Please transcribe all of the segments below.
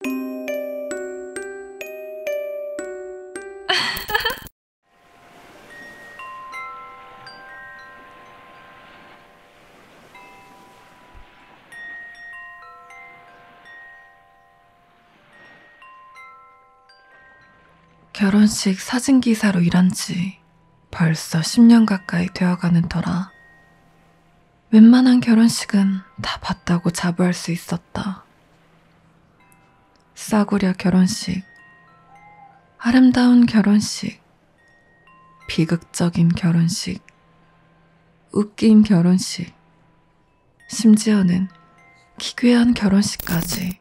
결혼식 사진기사로 일한 지 벌써 10년 가까이 되어가는 터라 웬만한 결혼식은 다 봤다고 자부할 수 있었다. 싸구려 결혼식, 아름다운 결혼식, 비극적인 결혼식, 웃긴 결혼식, 심지어는 기괴한 결혼식까지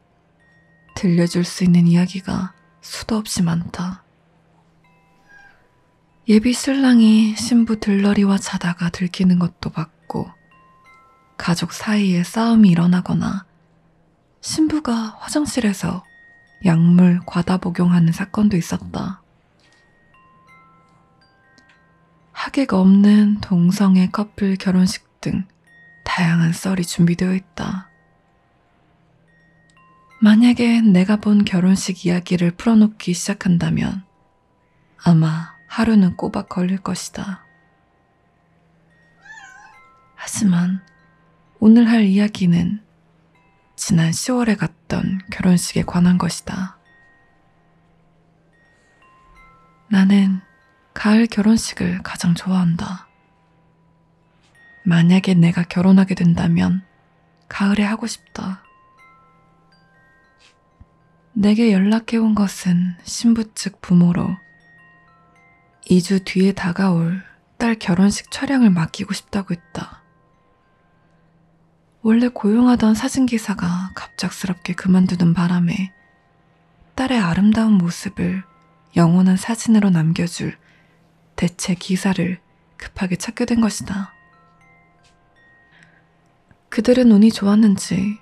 들려줄 수 있는 이야기가 수도 없이 많다. 예비 신랑이 신부 들러리와 자다가 들키는 것도 봤고, 가족 사이에 싸움이 일어나거나, 신부가 화장실에서 약물 과다 복용하는 사건도 있었다. 하객 없는 동성애 커플 결혼식 등 다양한 썰이 준비되어 있다. 만약에 내가 본 결혼식 이야기를 풀어놓기 시작한다면 아마 하루는 꼬박 걸릴 것이다. 하지만 오늘 할 이야기는 지난 10월에 갔던 결혼식에 관한 것이다. 나는 가을 결혼식을 가장 좋아한다. 만약에 내가 결혼하게 된다면 가을에 하고 싶다. 내게 연락해온 것은 신부 측 부모로 2주 뒤에 다가올 딸 결혼식 촬영을 맡기고 싶다고 했다. 원래 고용하던 사진기사가 갑작스럽게 그만두는 바람에 딸의 아름다운 모습을 영원한 사진으로 남겨줄 대체 기사를 급하게 찾게 된 것이다. 그들은 운이 좋았는지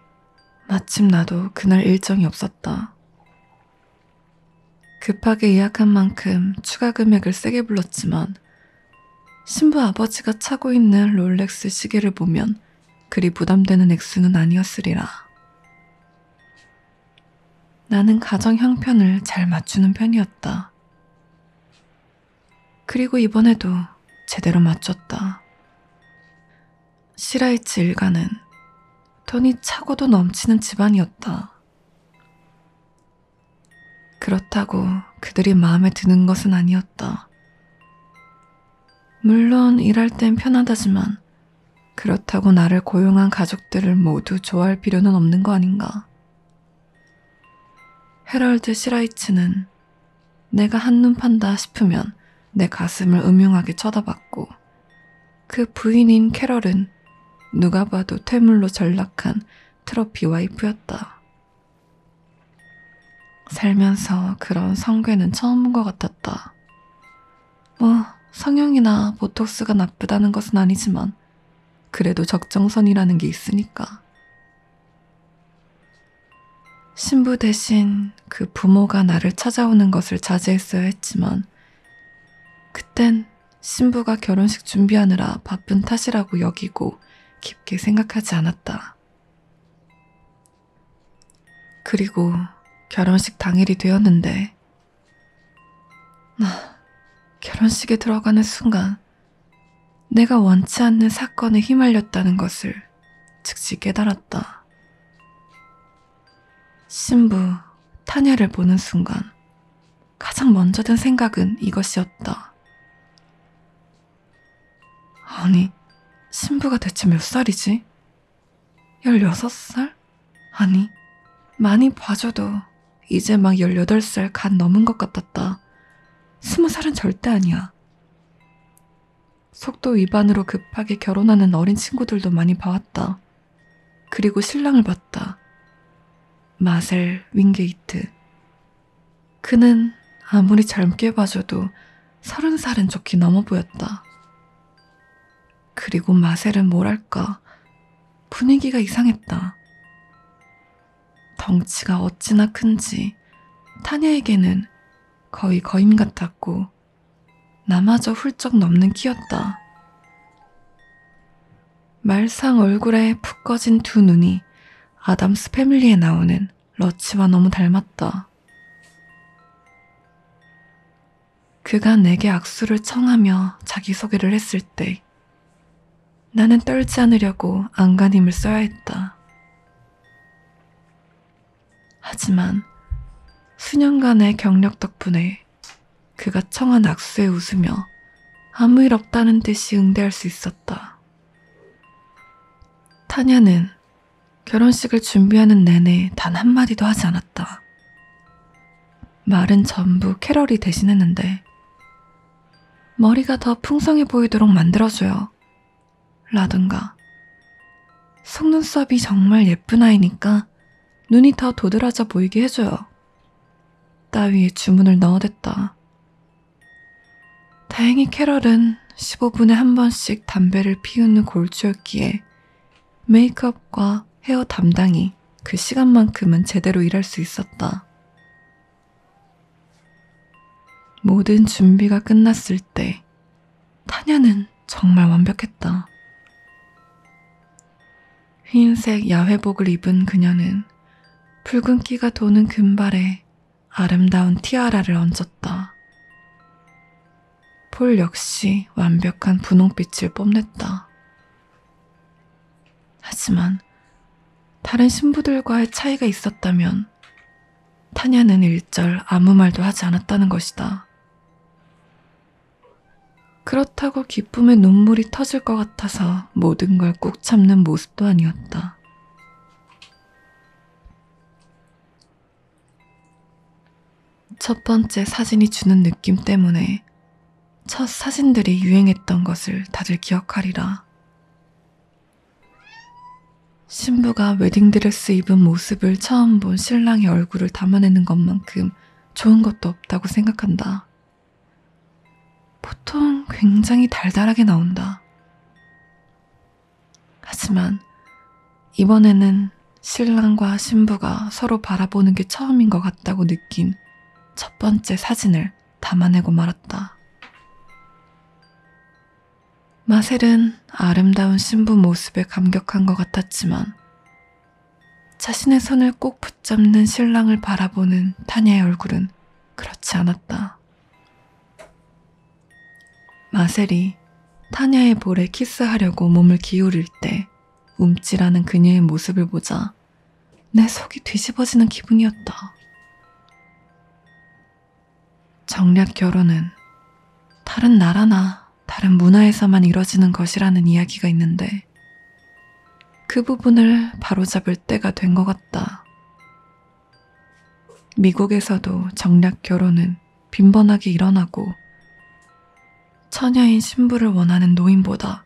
마침 나도 그날 일정이 없었다. 급하게 예약한 만큼 추가 금액을 세게 불렀지만 신부 아버지가 차고 있는 롤렉스 시계를 보면 그리 부담되는 액수는 아니었으리라. 나는 가정 형편을 잘 맞추는 편이었다. 그리고 이번에도 제대로 맞췄다. 시라이츠 일가는 돈이 차고도 넘치는 집안이었다. 그렇다고 그들이 마음에 드는 것은 아니었다. 물론 일할 땐 편하다지만 그렇다고 나를 고용한 가족들을 모두 좋아할 필요는 없는 거 아닌가. 헤럴드 시라이츠는 내가 한눈 판다 싶으면 내 가슴을 음흉하게 쳐다봤고 그 부인인 캐럴은 누가 봐도 퇴물로 전락한 트로피 와이프였다. 살면서 그런 성괴는 처음 본 것 같았다. 뭐 성형이나 보톡스가 나쁘다는 것은 아니지만 그래도 적정선이라는 게 있으니까. 신부 대신 그 부모가 나를 찾아오는 것을 자제했어야 했지만, 그땐 신부가 결혼식 준비하느라 바쁜 탓이라고 여기고 깊게 생각하지 않았다. 그리고 결혼식 당일이 되었는데, 나 아, 결혼식에 들어가는 순간 내가 원치 않는 사건에 휘말렸다는 것을 즉시 깨달았다. 신부, 타냐를 보는 순간 가장 먼저 든 생각은 이것이었다. 아니, 신부가 대체 몇 살이지? 16살? 아니, 많이 봐줘도 이제 막 18살 간 넘은 것 같았다. 스무 살은 절대 아니야. 있었다. 속도 위반으로 급하게 결혼하는 어린 친구들도 많이 봐왔다. 그리고 신랑을 봤다. 마셀 윙게이트. 그는 아무리 젊게 봐줘도 서른 살은 좋게 넘어 보였다. 그리고 마셀은 뭐랄까 분위기가 이상했다. 덩치가 어찌나 큰지 타냐에게는 거의 거인 같았고 나마저 훌쩍 넘는 키였다. 말상 얼굴에 푹 꺼진 두 눈이 아담스 패밀리에 나오는 러치와 너무 닮았다. 그가 내게 악수를 청하며 자기소개를 했을 때 나는 떨지 않으려고 안간힘을 써야 했다. 하지만 수년간의 경력 덕분에 그가 청한 악수에 웃으며 아무 일 없다는 듯이 응대할 수 있었다. 타냐는 결혼식을 준비하는 내내 단 한마디도 하지 않았다. 말은 전부 캐럴이 대신했는데 머리가 더 풍성해 보이도록 만들어줘요. 라든가. 속눈썹이 정말 예쁜 아이니까 눈이 더 도드라져 보이게 해줘요. 따위에 주문을 넣어댔다. 다행히 캐럴은 15분에 한 번씩 담배를 피우는 골주였기에 메이크업과 헤어 담당이 그 시간만큼은 제대로 일할 수 있었다. 모든 준비가 끝났을 때 타냐는 정말 완벽했다. 흰색 야회복을 입은 그녀는 붉은 끼가 도는 금발에 아름다운 티아라를 얹었다. 폴 역시 완벽한 분홍빛을 뽐냈다. 하지만 다른 신부들과의 차이가 있었다면 타냐는 일절 아무 말도 하지 않았다는 것이다. 그렇다고 기쁨의 눈물이 터질 것 같아서 모든 걸 꾹 참는 모습도 아니었다. 첫 번째 사진이 주는 느낌 때문에 첫 사진들이 유행했던 것을 다들 기억하리라. 신부가 웨딩드레스 입은 모습을 처음 본 신랑의 얼굴을 담아내는 것만큼 좋은 것도 없다고 생각한다. 보통 굉장히 달달하게 나온다. 하지만 이번에는 신랑과 신부가 서로 바라보는 게 처음인 것 같다고 느낀 첫 번째 사진을 담아내고 말았다. 마셀은 아름다운 신부 모습에 감격한 것 같았지만 자신의 손을 꼭 붙잡는 신랑을 바라보는 타냐의 얼굴은 그렇지 않았다. 마셀이 타냐의 볼에 키스하려고 몸을 기울일 때 움찔하는 그녀의 모습을 보자 내 속이 뒤집어지는 기분이었다. 정략 결혼은 다른 나라나 다른 문화에서만 이뤄지는 것이라는 이야기가 있는데 그 부분을 바로잡을 때가 된 것 같다. 미국에서도 정략 결혼은 빈번하게 일어나고 처녀인 신부를 원하는 노인보다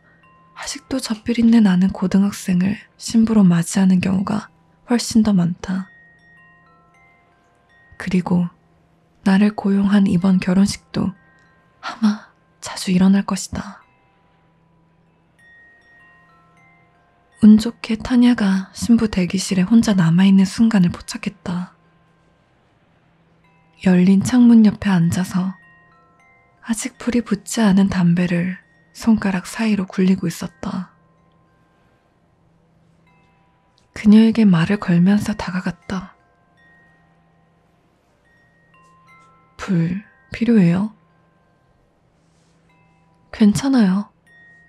아직도 젖필 있는 아는 고등학생을 신부로 맞이하는 경우가 훨씬 더 많다. 그리고 나를 고용한 이번 결혼식도 아마 자주 일어날 것이다. 운 좋게 타냐가 신부 대기실에 혼자 남아있는 순간을 포착했다. 열린 창문 옆에 앉아서 아직 불이 붙지 않은 담배를 손가락 사이로 굴리고 있었다. 그녀에게 말을 걸면서 다가갔다. 불 필요해요? 괜찮아요.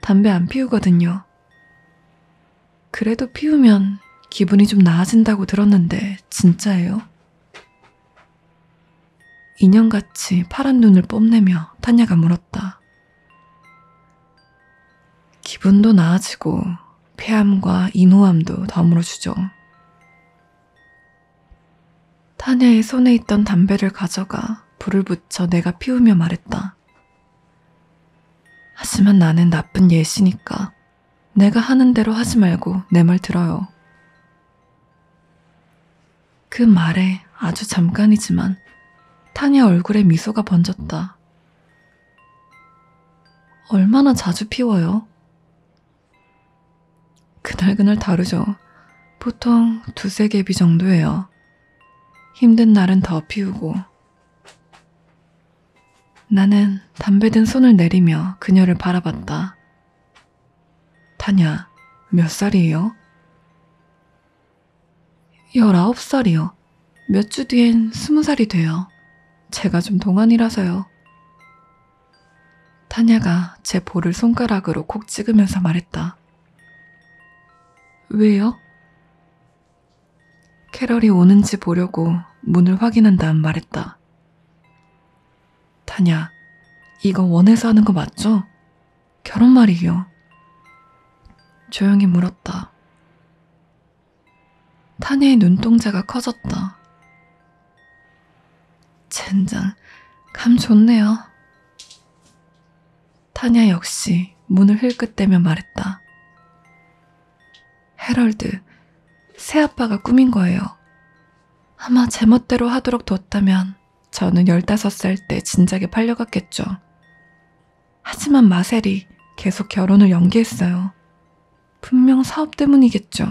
담배 안 피우거든요. 그래도 피우면 기분이 좀 나아진다고 들었는데 진짜예요? 인형같이 파란 눈을 뽐내며 탄야가 물었다. 기분도 나아지고 폐암과 인후암도 덤으로 주죠. 탄야의 손에 있던 담배를 가져가 불을 붙여 내가 피우며 말했다. 하지만 나는 나쁜 예시니까 내가 하는 대로 하지 말고 내 말 들어요. 그 말에 아주 잠깐이지만 타냐 얼굴에 미소가 번졌다. 얼마나 자주 피워요? 그날그날 다르죠. 보통 두세 개비 정도예요. 힘든 날은 더 피우고. 나는 담배 든 손을 내리며 그녀를 바라봤다. 타냐, 몇 살이에요? 19살이요. 몇 주 뒤엔 20살이 돼요. 제가 좀 동안이라서요. 타냐가 제 볼을 손가락으로 콕 찍으면서 말했다. 왜요? 캐럴이 오는지 보려고 문을 확인한 다음 말했다. 다냐, 이거 원해서 하는 거 맞죠? 결혼 말이요. 조용히 물었다. 타냐의 눈동자가 커졌다. 젠장, 감 좋네요. 타냐 역시 문을 흘끗대며 말했다. 헤럴드, 새아빠가 꾸민 거예요. 아마 제멋대로 하도록 뒀다면 저는 15살 때 진작에 팔려갔겠죠. 하지만 마셀이 계속 결혼을 연기했어요. 분명 사업 때문이겠죠.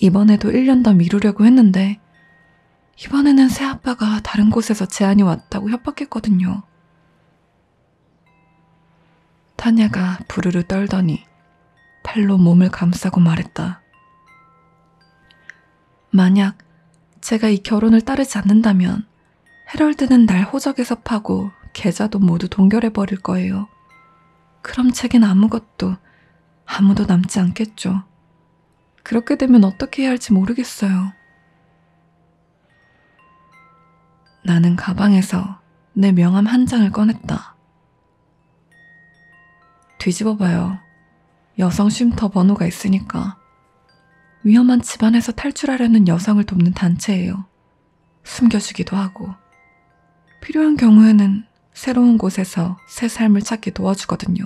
이번에도 1년 더 미루려고 했는데, 이번에는 새아빠가 다른 곳에서 제안이 왔다고 협박했거든요. 타냐가 부르르 떨더니 팔로 몸을 감싸고 말했다. 만약 제가 이 결혼을 따르지 않는다면 헤럴드는 날 호적에서 파고 계좌도 모두 동결해버릴 거예요. 그럼 제겐 아무것도 아무도 남지 않겠죠. 그렇게 되면 어떻게 해야 할지 모르겠어요. 나는 가방에서 내 명함 한 장을 꺼냈다. 뒤집어봐요. 여성 쉼터 번호가 있으니까. 위험한 집안에서 탈출하려는 여성을 돕는 단체예요. 숨겨주기도 하고. 필요한 경우에는 새로운 곳에서 새 삶을 찾기 도와주거든요.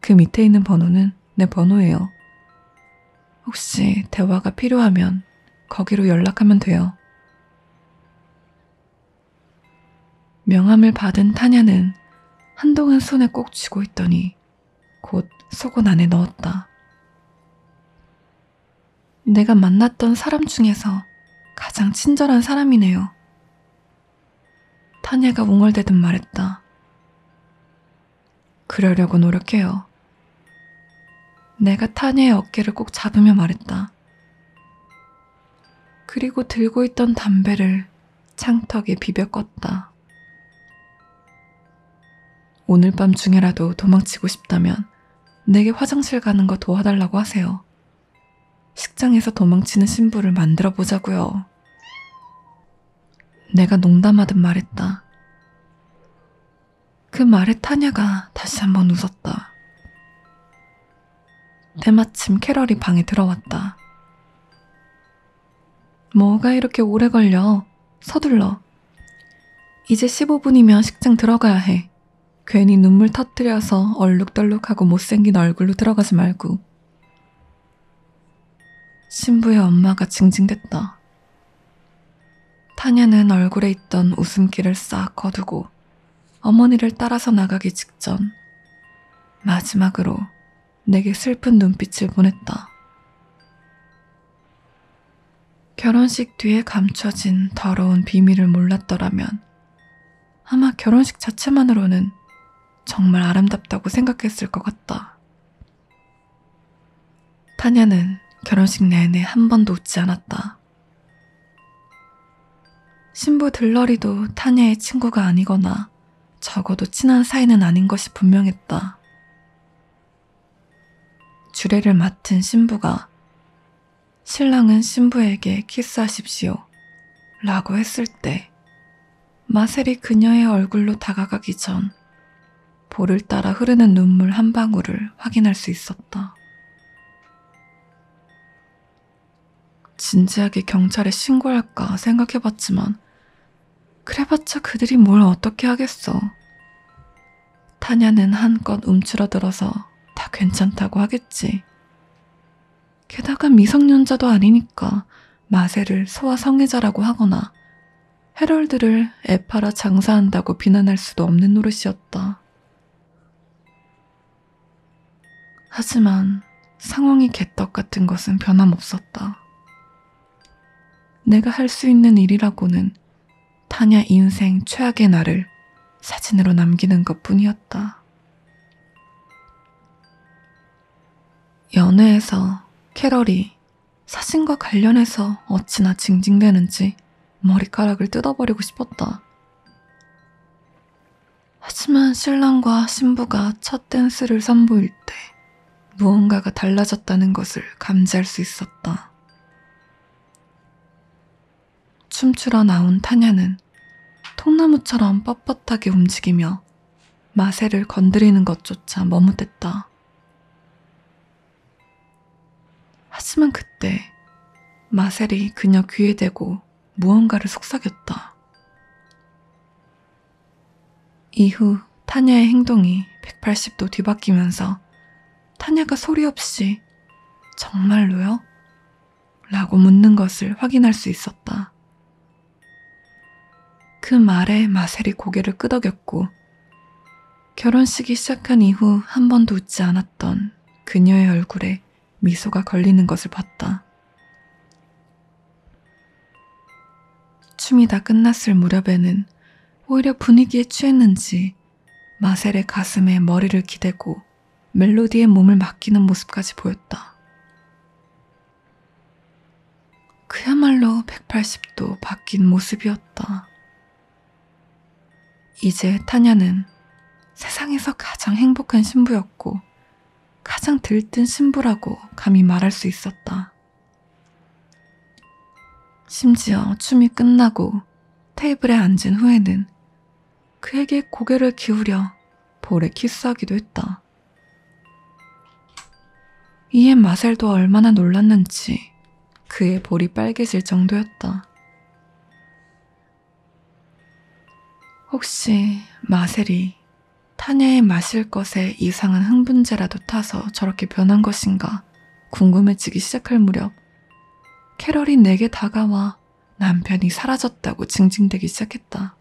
그 밑에 있는 번호는 내 번호예요. 혹시 대화가 필요하면 거기로 연락하면 돼요. 명함을 받은 타냐는 한동안 손에 꼭 쥐고 있더니 곧 속옷 안에 넣었다. 내가 만났던 사람 중에서 가장 친절한 사람이네요. 타냐가 웅얼대듯 말했다. 그러려고 노력해요. 내가 타냐의 어깨를 꼭 잡으며 말했다. 그리고 들고 있던 담배를 창턱에 비벼 껐다. 오늘 밤 중에라도 도망치고 싶다면 내게 화장실 가는 거 도와달라고 하세요. 식장에서 도망치는 신부를 만들어 보자고요. 내가 농담하듯 말했다. 그 말에 타냐가 다시 한번 웃었다. 때마침 캐럴이 방에 들어왔다. 뭐가 이렇게 오래 걸려? 서둘러. 이제 15분이면 식장 들어가야 해. 괜히 눈물 터뜨려서 얼룩덜룩하고 못생긴 얼굴로 들어가지 말고. 신부의 엄마가 징징댔다. 타냐는 얼굴에 있던 웃음기를 싹 거두고 어머니를 따라서 나가기 직전 마지막으로 내게 슬픈 눈빛을 보냈다. 결혼식 뒤에 감춰진 더러운 비밀을 몰랐더라면 아마 결혼식 자체만으로는 정말 아름답다고 생각했을 것 같다. 타냐는 결혼식 내내 한 번도 웃지 않았다. 신부 들러리도 타냐의 친구가 아니거나 적어도 친한 사이는 아닌 것이 분명했다. 주례를 맡은 신부가 신랑은 신부에게 키스하십시오 라고 했을 때 마셀이 그녀의 얼굴로 다가가기 전 볼을 따라 흐르는 눈물 한 방울을 확인할 수 있었다. 진지하게 경찰에 신고할까 생각해봤지만 그래봤자 그들이 뭘 어떻게 하겠어. 타냐는 한껏 움츠러들어서 다 괜찮다고 하겠지. 게다가 미성년자도 아니니까 마세를 소아성애자라고 하거나 헤럴드를 애 팔아 장사한다고 비난할 수도 없는 노릇이었다. 하지만 상황이 개떡 같은 것은 변함없었다. 내가 할 수 있는 일이라고는 타냐 인생 최악의 날을 사진으로 남기는 것 뿐이었다. 연애에서 캐럴이 사진과 관련해서 어찌나 징징대는지 머리카락을 뜯어버리고 싶었다. 하지만 신랑과 신부가 첫 댄스를 선보일 때 무언가가 달라졌다는 것을 감지할 수 있었다. 춤추러 나온 타냐는 통나무처럼 뻣뻣하게 움직이며 마세를 건드리는 것조차 머뭇댔다. 하지만 그때 마셀이 그녀 귀에 대고 무언가를 속삭였다. 이후 타냐의 행동이 180도 뒤바뀌면서 타냐가 소리 없이 정말로요? 라고 묻는 것을 확인할 수 있었다. 그 말에 마셀이 고개를 끄덕였고 결혼식이 시작한 이후 한 번도 웃지 않았던 그녀의 얼굴에 미소가 걸리는 것을 봤다. 춤이 다 끝났을 무렵에는 오히려 분위기에 취했는지 마셀의 가슴에 머리를 기대고 멜로디에 몸을 맡기는 모습까지 보였다. 그야말로 180도 바뀐 모습이었다. 이제 타냐는 세상에서 가장 행복한 신부였고 가장 들뜬 신부라고 감히 말할 수 있었다. 심지어 춤이 끝나고 테이블에 앉은 후에는 그에게 고개를 기울여 볼에 키스하기도 했다. 이에 마셀도 얼마나 놀랐는지 그의 볼이 빨개질 정도였다. 혹시 마셀이 타냐의 마실 것에 이상한 흥분제라도 타서 저렇게 변한 것인가 궁금해지기 시작할 무렵 캐럴이 내게 다가와 남편이 사라졌다고 징징대기 시작했다.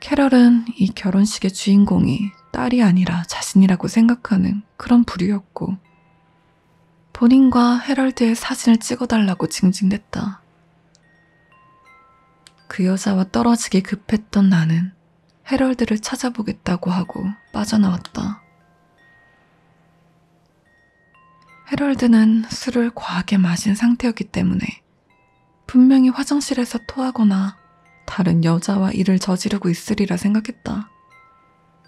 캐럴은 이 결혼식의 주인공이 딸이 아니라 자신이라고 생각하는 그런 부류였고 본인과 헤럴드의 사진을 찍어달라고 징징댔다. 그 여자와 떨어지기 급했던 나는 헤럴드를 찾아보겠다고 하고 빠져나왔다. 헤럴드는 술을 과하게 마신 상태였기 때문에 분명히 화장실에서 토하거나 다른 여자와 일을 저지르고 있으리라 생각했다.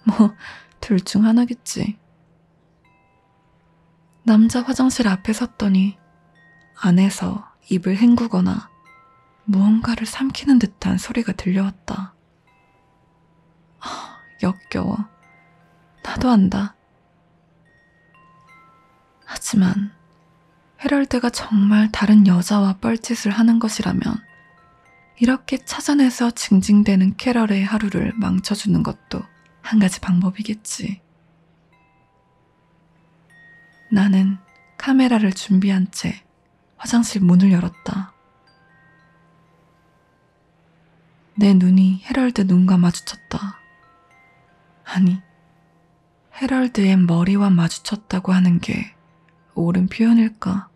뭐, 둘 중 하나겠지. 남자 화장실 앞에 섰더니 안에서 입을 헹구거나 무언가를 삼키는 듯한 소리가 들려왔다. 아, 역겨워. 나도 안다. 하지만 헤럴드가 정말 다른 여자와 뻘짓을 하는 것이라면 이렇게 찾아내서 징징대는 캐럴의 하루를 망쳐주는 것도 한 가지 방법이겠지. 나는 카메라를 준비한 채 화장실 문을 열었다. 내 눈이 헤럴드 눈과 마주쳤다. 아니, 헤럴드의 머리와 마주쳤다고 하는 게 옳은 표현일까?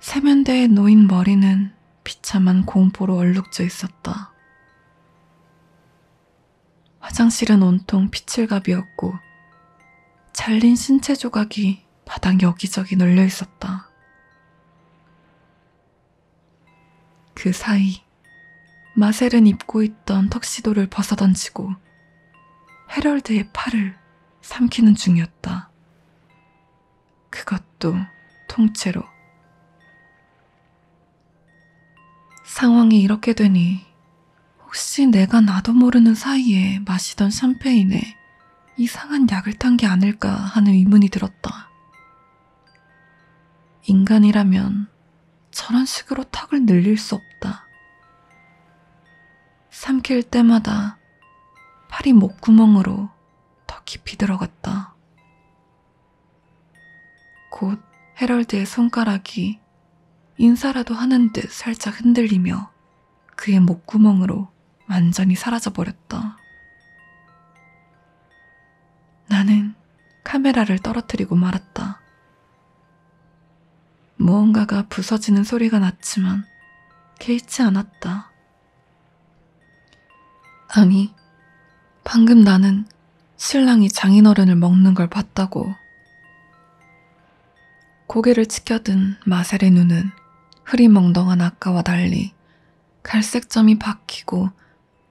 세면대에 놓인 머리는 비참한 공포로 얼룩져 있었다. 화장실은 온통 피칠갑이었고 잘린 신체 조각이 바닥 여기저기 널려 있었다. 그 사이 마셀은 입고 있던 턱시도를 벗어던지고 헤럴드의 팔을 삼키는 중이었다. 그것도 통째로. 상황이 이렇게 되니 혹시 내가 나도 모르는 사이에 마시던 샴페인에 이상한 약을 탄 게 아닐까 하는 의문이 들었다. 인간이라면 저런 식으로 턱을 늘릴 수 없다. 삼킬 때마다 팔이 목구멍으로 더 깊이 들어갔다. 곧 헤럴드의 손가락이 인사라도 하는 듯 살짝 흔들리며 그의 목구멍으로 완전히 사라져버렸다. 나는 카메라를 떨어뜨리고 말았다. 무언가가 부서지는 소리가 났지만 개의치 않았다. 아니, 방금 나는 신랑이 장인어른을 먹는 걸 봤다고. 고개를 치켜든 마셀의 눈은 흐리멍덩한 아까와 달리 갈색점이 박히고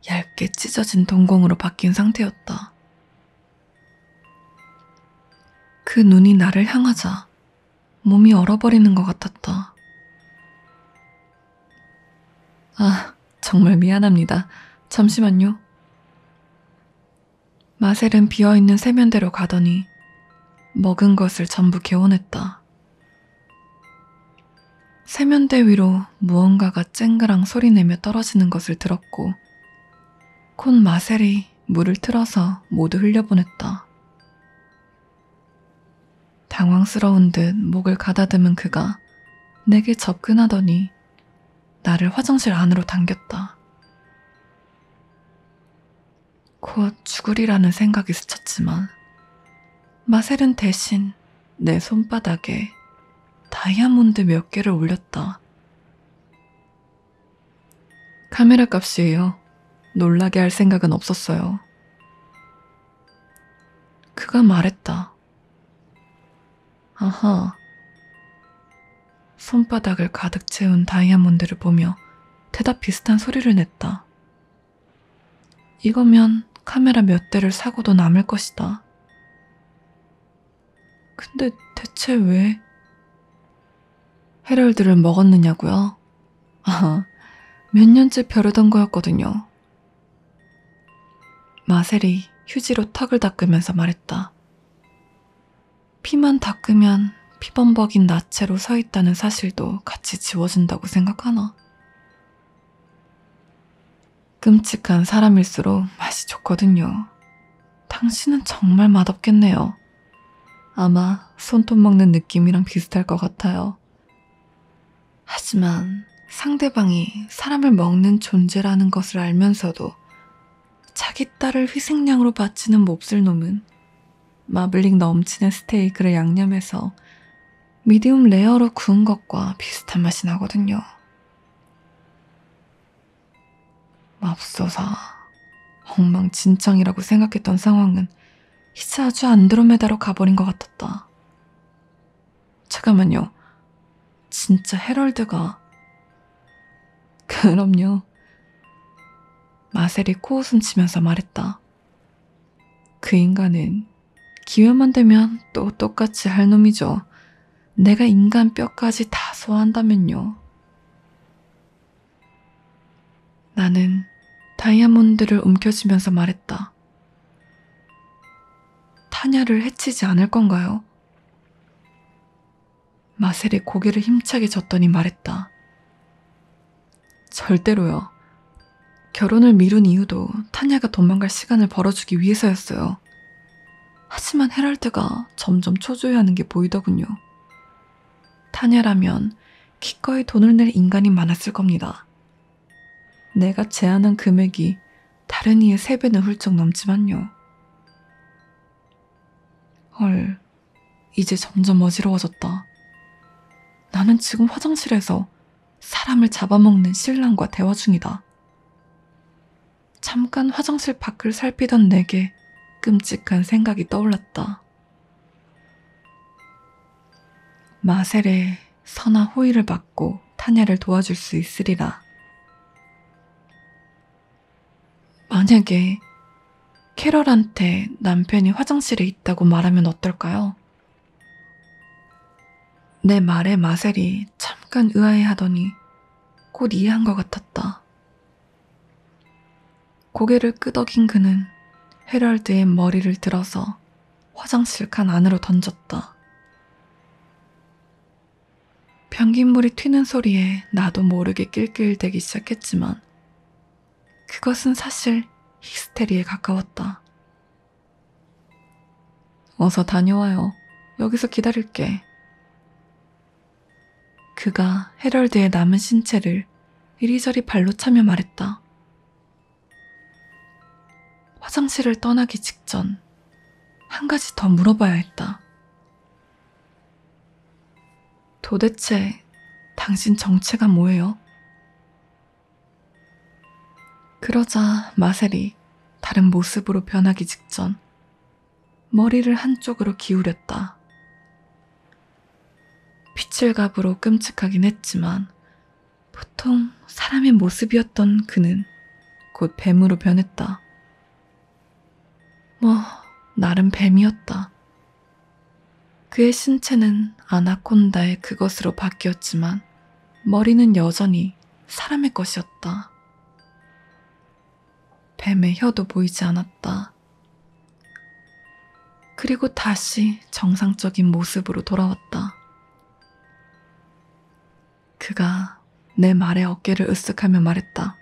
얇게 찢어진 동공으로 바뀐 상태였다. 그 눈이 나를 향하자 몸이 얼어버리는 것 같았다. 아, 정말 미안합니다. 잠시만요. 마셀은 비어있는 세면대로 가더니 먹은 것을 전부 개원했다. 세면대 위로 무언가가 쨍그랑 소리내며 떨어지는 것을 들었고 콘 마셀이 물을 틀어서 모두 흘려보냈다. 당황스러운 듯 목을 가다듬은 그가 내게 접근하더니 나를 화장실 안으로 당겼다. 곧 죽으리라는 생각이 스쳤지만 마셀은 대신 내 손바닥에 다이아몬드 몇 개를 올렸다. 카메라 값이에요. 놀라게 할 생각은 없었어요. 그가 말했다. 아하. 손바닥을 가득 채운 다이아몬드를 보며 대답 비슷한 소리를 냈다. 이거면 카메라 몇 대를 사고도 남을 것이다. 근데 대체 왜? 헤럴드를 먹었느냐고요? 아, 몇 년째 벼르던 거였거든요. 마셀이 휴지로 턱을 닦으면서 말했다. 피만 닦으면 피범벅인 나체로 서 있다는 사실도 같이 지워진다고 생각하나? 끔찍한 사람일수록 맛이 좋거든요. 당신은 정말 맛없겠네요. 아마 손톱 먹는 느낌이랑 비슷할 것 같아요. 하지만 상대방이 사람을 먹는 존재라는 것을 알면서도 자기 딸을 희생양으로 바치는 몹쓸 놈은 마블링 넘치는 스테이크를 양념해서 미디움 레어로 구운 것과 비슷한 맛이 나거든요. 맙소사 엉망진창이라고 생각했던 상황은 이제 아주 안드로메다로 가버린 것 같았다. 잠깐만요. 진짜 헤럴드가 그럼요. 마셀이 코웃음 치면서 말했다. 그 인간은 기회만 되면 또 똑같이 할 놈이죠. 내가 인간 뼈까지 다 소화한다면요. 나는 다이아몬드를 움켜쥐면서 말했다. 타냐를 해치지 않을 건가요? 마셀이 고개를 힘차게 졌더니 말했다. 절대로요. 결혼을 미룬 이유도 타냐가 도망갈 시간을 벌어주기 위해서였어요. 하지만 헤럴드가 점점 초조해하는 게 보이더군요. 타냐라면 기꺼이 돈을 낼 인간이 많았을 겁니다. 내가 제안한 금액이 다른 이의 세 배는 훌쩍 넘지만요. 헐, 이제 점점 어지러워졌다. 나는 지금 화장실에서 사람을 잡아먹는 신랑과 대화 중이다. 잠깐 화장실 밖을 살피던 내게 끔찍한 생각이 떠올랐다. 마셀의 선화 호의를 받고 타냐를 도와줄 수 있으리라. 만약에 캐럴한테 남편이 화장실에 있다고 말하면 어떨까요? 내 말에 마셀이 잠깐 의아해하더니 곧 이해한 것 같았다. 고개를 끄덕인 그는 헤럴드의 머리를 들어서 화장실 칸 안으로 던졌다. 변기물이 튀는 소리에 나도 모르게 낄낄대기 시작했지만 그것은 사실 히스테리에 가까웠다. 어서 다녀와요. 여기서 기다릴게. 그가 헤럴드의 남은 신체를 이리저리 발로 차며 말했다. 화장실을 떠나기 직전 한 가지 더 물어봐야 했다. 도대체 당신 정체가 뭐예요? 그러자 마셀이 다른 모습으로 변하기 직전 머리를 한쪽으로 기울였다. 피칠갑으로 끔찍하긴 했지만 보통 사람의 모습이었던 그는 곧 뱀으로 변했다. 뭐, 나름 뱀이었다. 그의 신체는 아나콘다의 그것으로 바뀌었지만 머리는 여전히 사람의 것이었다. 뱀의 혀도 보이지 않았다. 그리고 다시 정상적인 모습으로 돌아왔다. 그가 내 말에 어깨를 으쓱하며 말했다.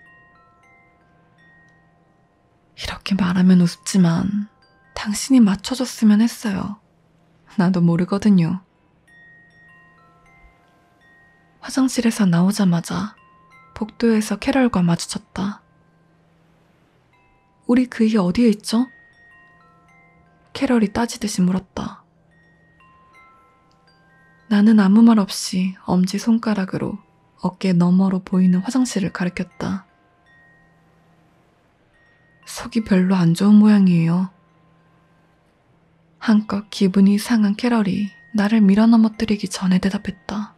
이렇게 말하면 우습지만 당신이 맞춰줬으면 했어요. 나도 모르거든요. 화장실에서 나오자마자 복도에서 캐럴과 마주쳤다. 우리 그이 어디에 있죠? 캐럴이 따지듯이 물었다. 나는 아무 말 없이 엄지 손가락으로 어깨 너머로 보이는 화장실을 가리켰다. 속이 별로 안 좋은 모양이에요. 한껏 기분이 상한 캐럴이 나를 밀어넘어뜨리기 전에 대답했다.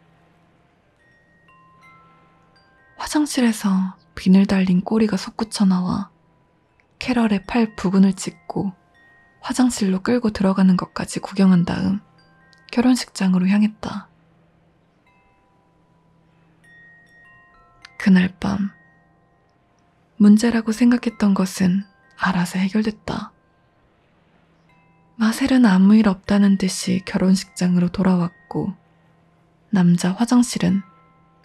화장실에서 비늘 달린 꼬리가 솟구쳐 나와 캐럴의 팔 부근을 찍고 화장실로 끌고 들어가는 것까지 구경한 다음 결혼식장으로 향했다. 그날 밤 문제라고 생각했던 것은 알아서 해결됐다. 마셀은 아무 일 없다는 듯이 결혼식장으로 돌아왔고, 남자 화장실은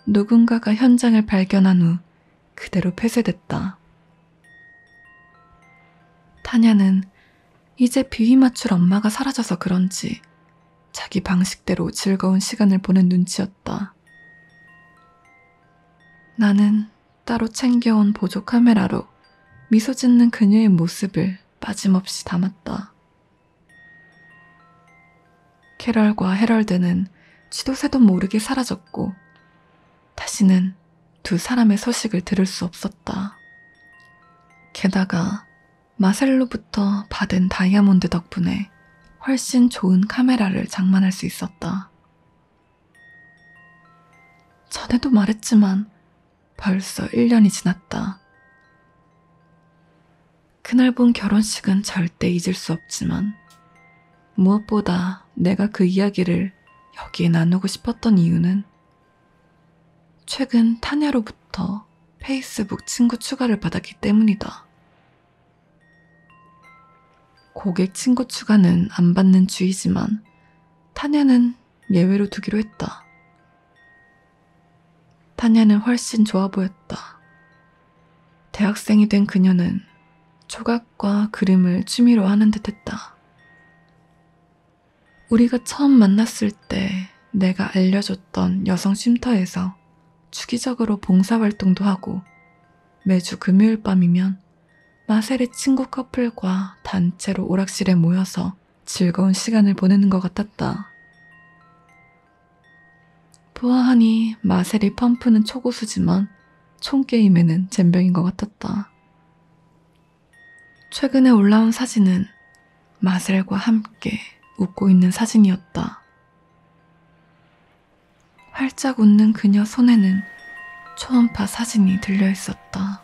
누군가가 현장을 발견한 후 그대로 폐쇄됐다. 타냐는 이제 비위 맞출 엄마가 사라져서 그런지 자기 방식대로 즐거운 시간을 보낸 눈치였다. 나는 따로 챙겨온 보조 카메라로 미소 짓는 그녀의 모습을 빠짐없이 담았다. 캐럴과 헤럴드는 시도새도 모르게 사라졌고 다시는 두 사람의 소식을 들을 수 없었다. 게다가 마셀로부터 받은 다이아몬드 덕분에 훨씬 좋은 카메라를 장만할 수 있었다. 전에도 말했지만 벌써 1년이 지났다. 그날 본 결혼식은 절대 잊을 수 없지만 무엇보다 내가 그 이야기를 여기에 나누고 싶었던 이유는 최근 타냐로부터 페이스북 친구 추가를 받았기 때문이다. 고객 친구 추가는 안 받는 주의지만 타냐는 예외로 두기로 했다. 타냐는 훨씬 좋아 보였다. 대학생이 된 그녀는 조각과 그림을 취미로 하는 듯 했다. 우리가 처음 만났을 때 내가 알려줬던 여성 쉼터에서 주기적으로 봉사활동도 하고 매주 금요일 밤이면 마셀의 친구 커플과 단체로 오락실에 모여서 하며 즐거운 시간을 보내는 것 같았다. 보아하니 마셀이 펌프는 초고수지만 총게임에는 젬병인 것 같았다. 최근에 올라온 사진은 마셀과 함께 웃고 있는 사진이었다. 활짝 웃는 그녀 손에는 초음파 사진이 들려 있었다.